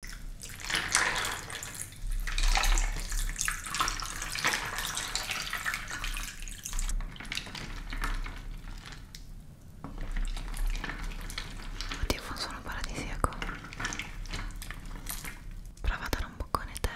Oddio, fa un suono paradisiaco. Prova a dare un boccone te.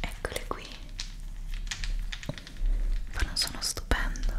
Eccole qui. Fanno un suono stupendo.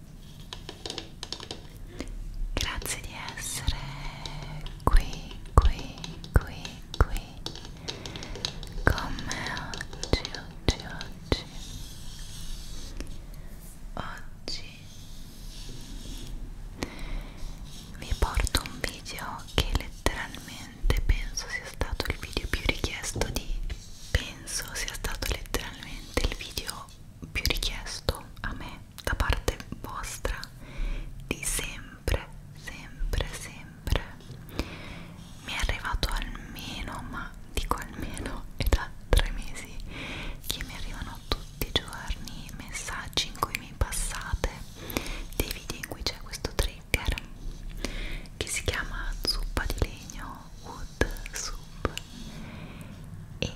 Grazie di essere qui, qui, qui, qui con me oggi, oggi, oggi. Oggi vi porto un video che letteralmente penso sia stato il video più richiesto di penso sia stato letteralmente il video più richiesto a me da parte vostra di sempre, sempre, sempre mi è arrivato almeno, ma dico almeno, è da tre mesi che mi arrivano tutti i giorni messaggi in cui mi passate dei video in cui c'è questo trigger che si chiama zuppa di legno wood soup e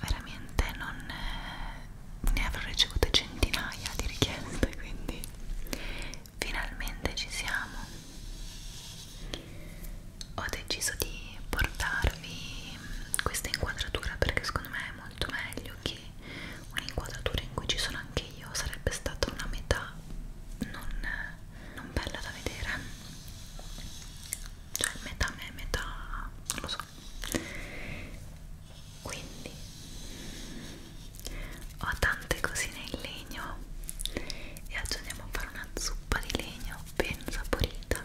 veramente non eh, ne avrò ricevute centinaia di richieste quindi finalmente ci siamo ho deciso di portarvi questa inquadratura perché secondo me è molto meglio che un'inquadratura in cui ci sono anche io sarebbe stata una metà non, non bella da vedere cioè metà me metà non lo so quindi ho tante cosine in legno e oggi andiamo a fare una zuppa di legno ben saporita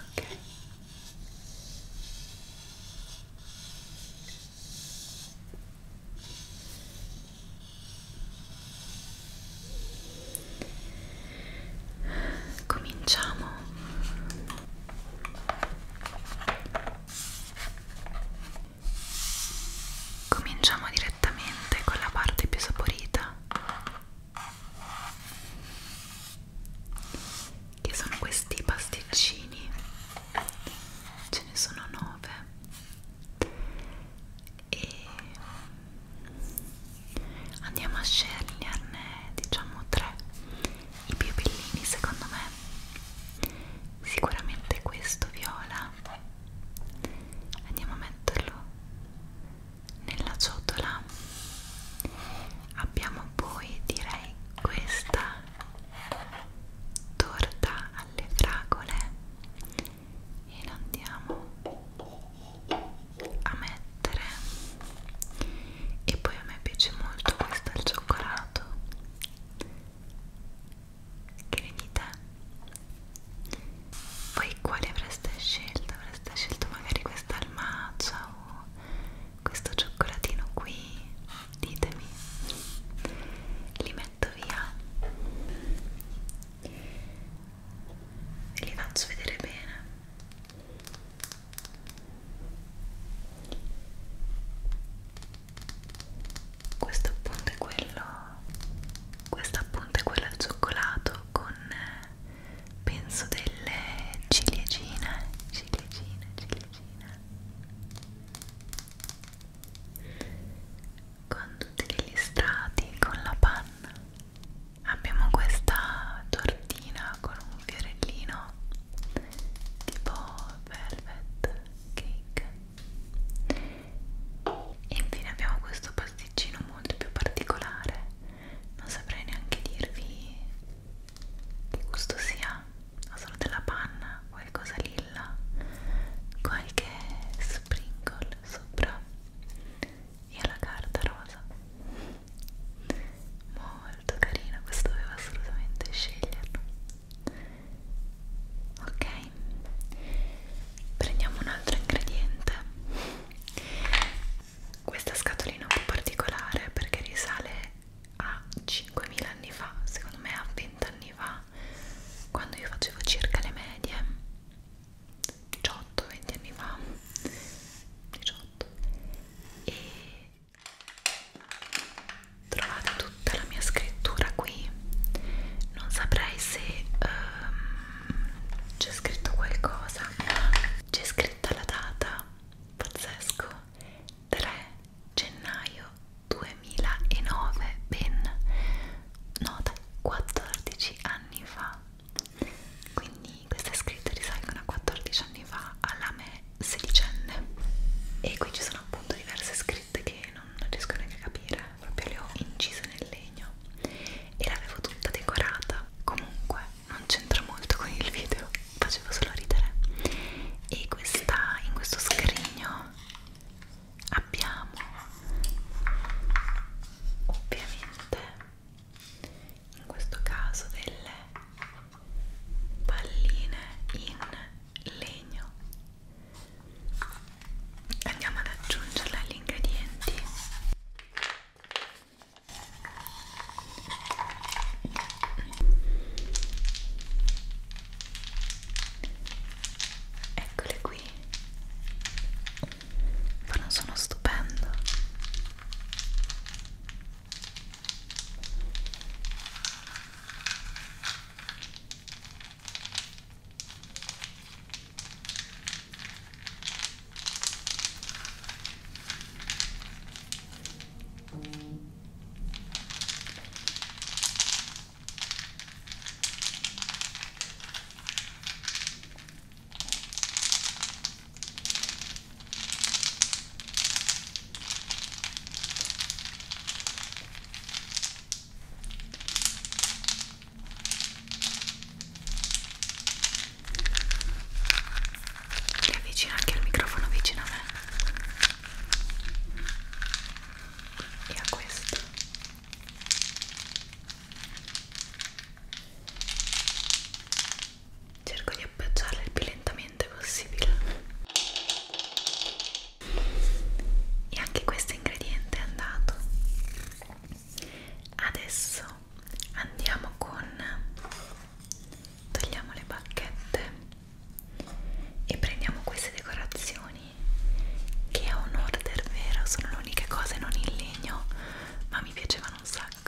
ok Cominciamo. Cominciamo direttamente con la parte più saporita, che sono questi pasticcini ce ne sono nove e andiamo a sceglierne diciamo tre i più bellini secondo me sicuramente questo viola andiamo a metterlo nella ciotola abbiamo poi direi questa torta alle fragole e lo andiamo a mettere e poi a me piace molto questo al cioccolato che ne dite? voi quali avreste scelto? avreste scelto magari questa al matcha o questo cioccolatino qui ditemi li metto via e li faccio vedere bene questo appunto è quello questo appunto è quello al cioccolato con eh, penso delle ciliegine ciliegine ciliegine con tutti gli strati con la panna abbiamo questa tortina con un fiorellino tipo velvet cake e infine abbiamo questo pasticcino molto più particolare non saprei neanche dirvi che gusto sia panna o solo della panna qualcosa lilla qualche sprinkle sopra e alla carta rosa molto carino questo dovevo assolutamente sceglierlo ok prendiamo un altro ingrediente questa scatolina è un po' particolare perché risale a 5.000 anni fa, secondo me a 20 anni fa, quando io facevo circa le medie, 18-20 anni fa, 18, e trovate tutta la mia scrittura qui, non saprei se um, c'è scritto qualcosa, c'è scritta la data, pazzesco, 3 gennaio 2009, ben no, 14 anni fa. Quindi queste scritte risalgono a 14 anni fa alla me sedicenne. E qui ci sono appunto diverse scritte che non riesco neanche a capire, proprio le ho incise nel legno e l'avevo tutta decorata. Comunque non c'entra molto con il video, facevo solo ridere. E questa, in questo scrigno abbiamo ovviamente in questo caso delle palline in legno andiamo ad aggiungerle agli ingredienti eccole qui ma non sono stupendo mm. Mi avvicina anche il microfono vicino a me e a questo cerco di appoggiarla il più lentamente possibile e anche questo ingrediente è andato adesso andiamo con togliamo le bacchette e prendiamo queste decorazioni che a un order vero sono le uniche cose non in legno ma mi piacevano un sacco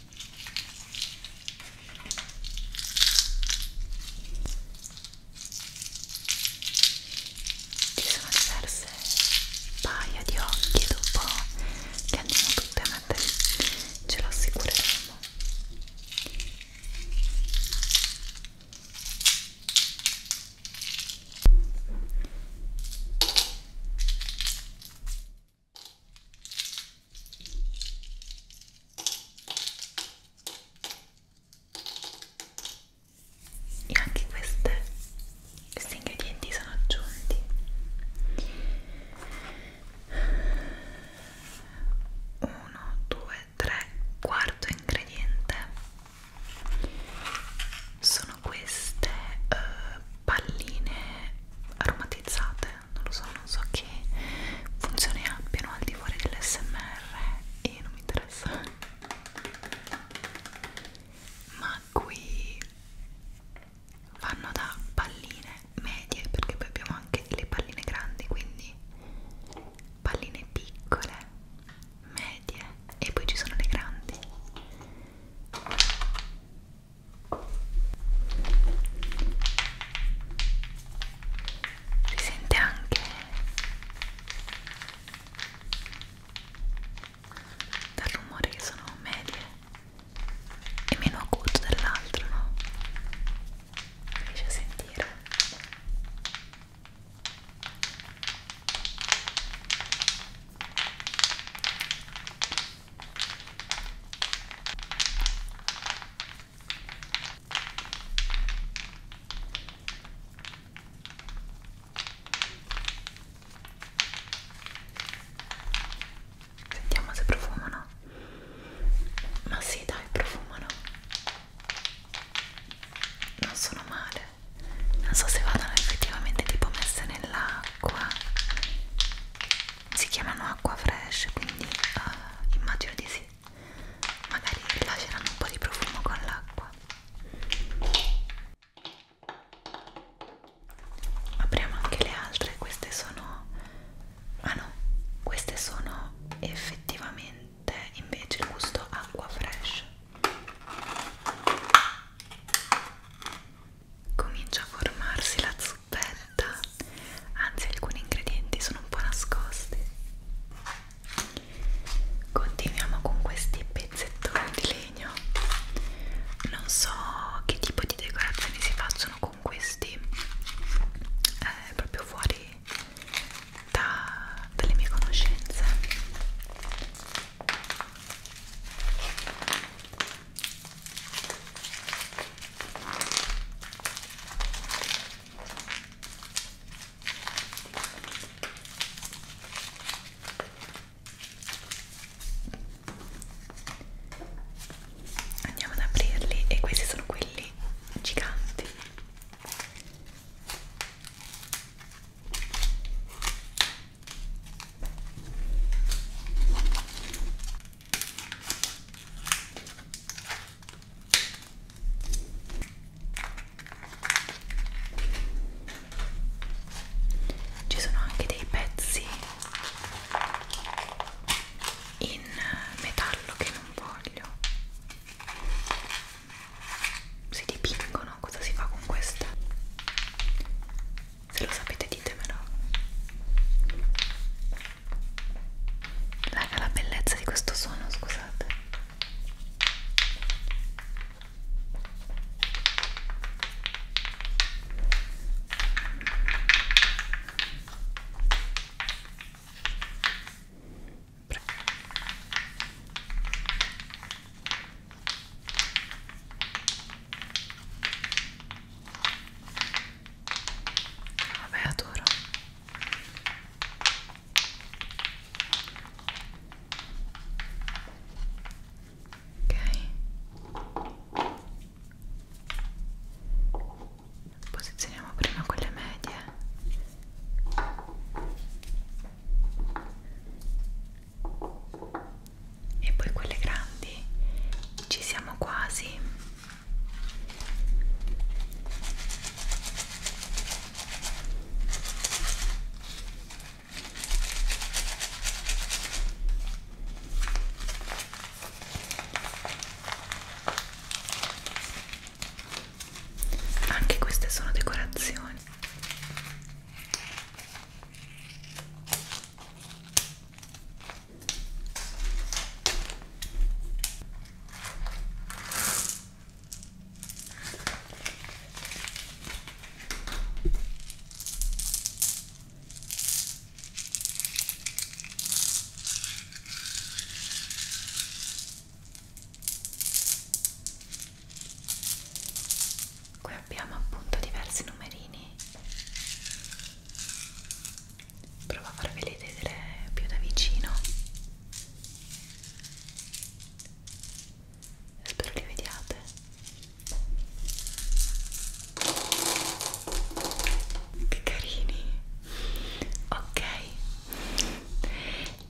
ci sono diverse paia di occhi dopo che andiamo tutte a mettere, ce lo assicureremo e anche queste, questi ingredienti sono aggiunti uno, due, tre, quarto ingrediente sono queste eh, palline aromatizzate non lo so, non so che funzioni abbiano al di fuori dell'SMR e non mi interessa ma qui vanno da palline medie perché poi abbiamo anche le palline grandi quindi palline piccole medie e poi ci sono le grandi si sente anche dal rumore che sono medie e meno acuto dell'altro, no? riesci a sentire Sentiamo se profumano. Ma sì, dai, profumano. Non sono male. Non so se vadano effettivamente tipo messe nell'acqua si chiamano acqua fresh quindi uh, immagino di sì magari lasceranno un po' di profumo con l'acqua apriamo anche le altre queste sono ah no queste sono effettivamente invece il gusto acqua fresh comincia a formarsi la zuppella realtà anzi alcuni ingredienti sono un po' nascosti continuiamo con questi pezzettoni di legno non so che tipo di decorazioni si facciano con questi eh, proprio fuori da, dalle mie conoscenze Andiamo ad aprirli e questi sono quelli giganti. Ci sono anche dei pezzi in metallo che non voglio. Si dipingono, cosa si fa con queste? Se lo sapete ditemelo. Raga, la bellezza di questo suono, scusate. Vabbè, adoro. Ok. Posizioniamo prima quelle medie. E poi quelle grandi. Ci siamo quasi. Anche queste sono decorazioni. Qui abbiamo appunto diversi numerini provo a farveli vedere più da vicino spero li vediate che carini ok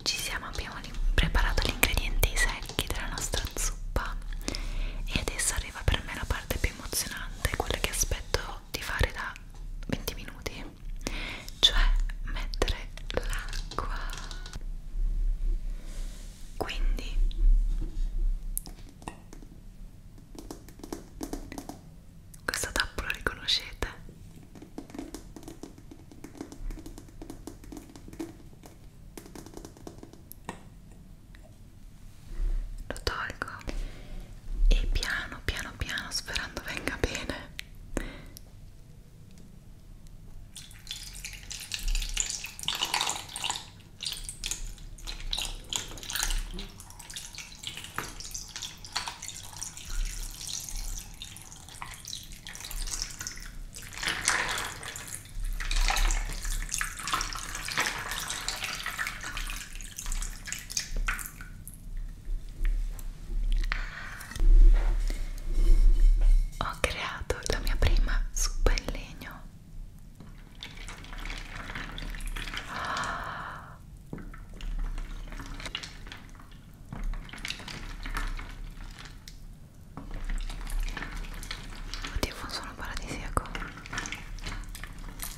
ci siamo abbiamo preparato gli ingredienti secchi della nostra zuppa e adesso arriva per me la parte più emozionante quella che aspetto di fare da 20 minuti cioè mettere l'acqua quindi questo tappo lo riconoscete lo tolgo e piano piano piano sperando venga bene ho creato la mia prima zuppa in legno. Oddio, fa un suono paradisiaco.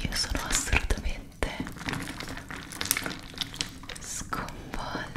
io sono assolutamente sconvolta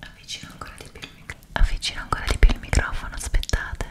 Avvicino ancora di più il microfono. Avvicino ancora di più il microfono, aspettate.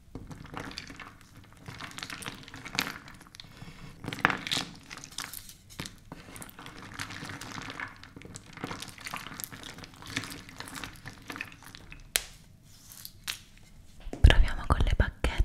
Proviamo con le bacchette.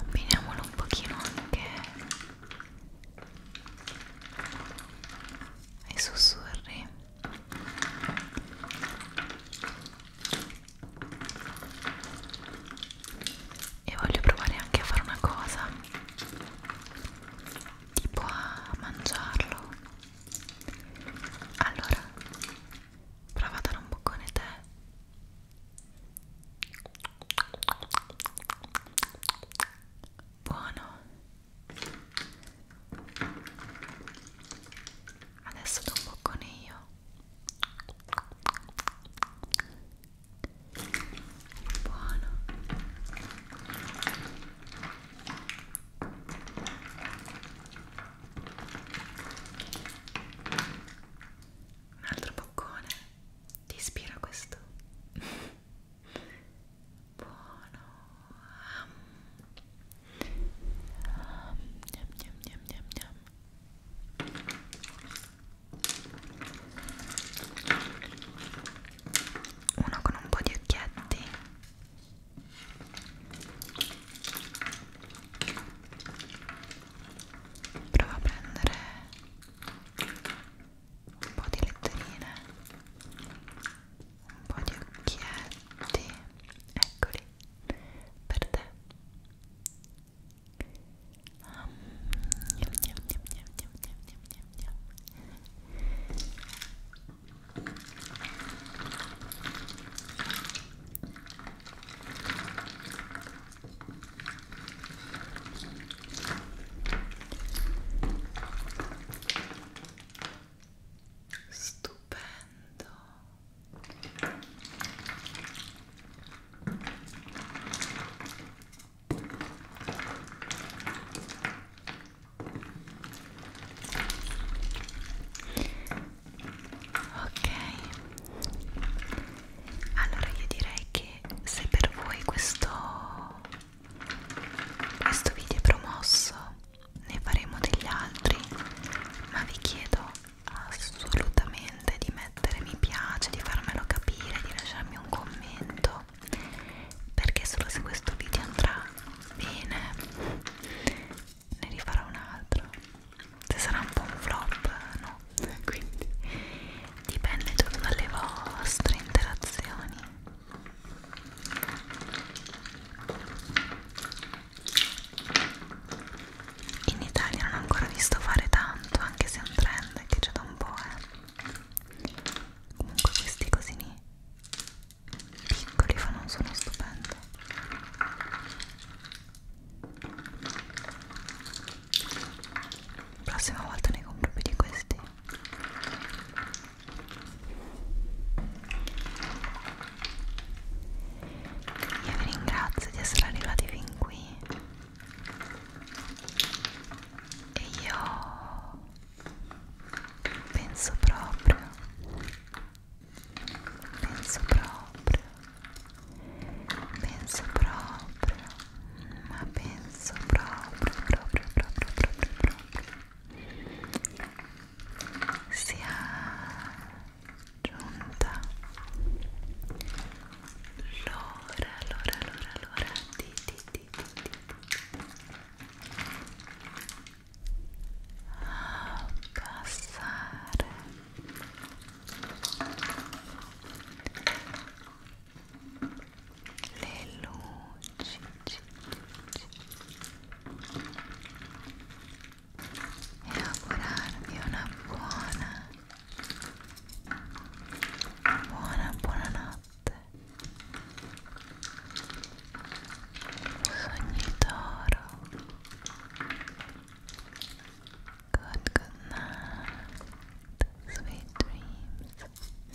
Abbiniamolo un pochino anche ai sussurri e voglio provare anche a fare una cosa tipo a mangiarlo allora prova a dare un boccone te buono Adesso do un boccone io. Buono. Un altro boccone. Ti ispira questo? buono um, yum, yum, yum, yum, yum. uno con un po' di occhietti Provo a prendere un po' di letterine un po' di occhietti, eccoli, per te um, niam, niam, niam, niam, niam, niam, niam, niam. Stupendo. Ok, allora io direi che se per voi questo questo video è promosso, ne faremo degli altri, ma vi chiedo assolutamente di mettere mi piace, di farmelo capire, di lasciarmi un commento, perché solo se questo video andrà bene ne rifarò un altro. Se sarà un po' un flop, no, quindi dipende tutto dalle vostre interazioni in Italia non ho ancora visto fare tanto anche se è un trend che c'è da un po' eh. comunque questi cosini piccoli fanno un suono stupendo prossima volta ne compro più di questi io vi ringrazio di essere arrivati fin qui e io penso proprio, penso proprio, penso proprio, ma penso proprio, proprio, proprio, proprio, proprio sia giunta l'ora, l'ora, l'ora, l'ora di, di, di, di, di. A passare le luci e augurarvi una buona buona buonanotte sogni toro good good night sweet dreams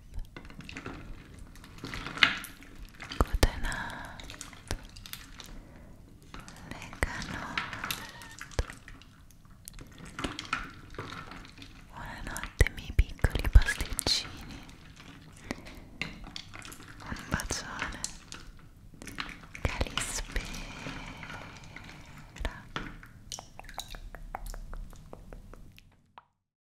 Good night. Buonanotte miei piccoli pasticcini. Un bacione. Calispera.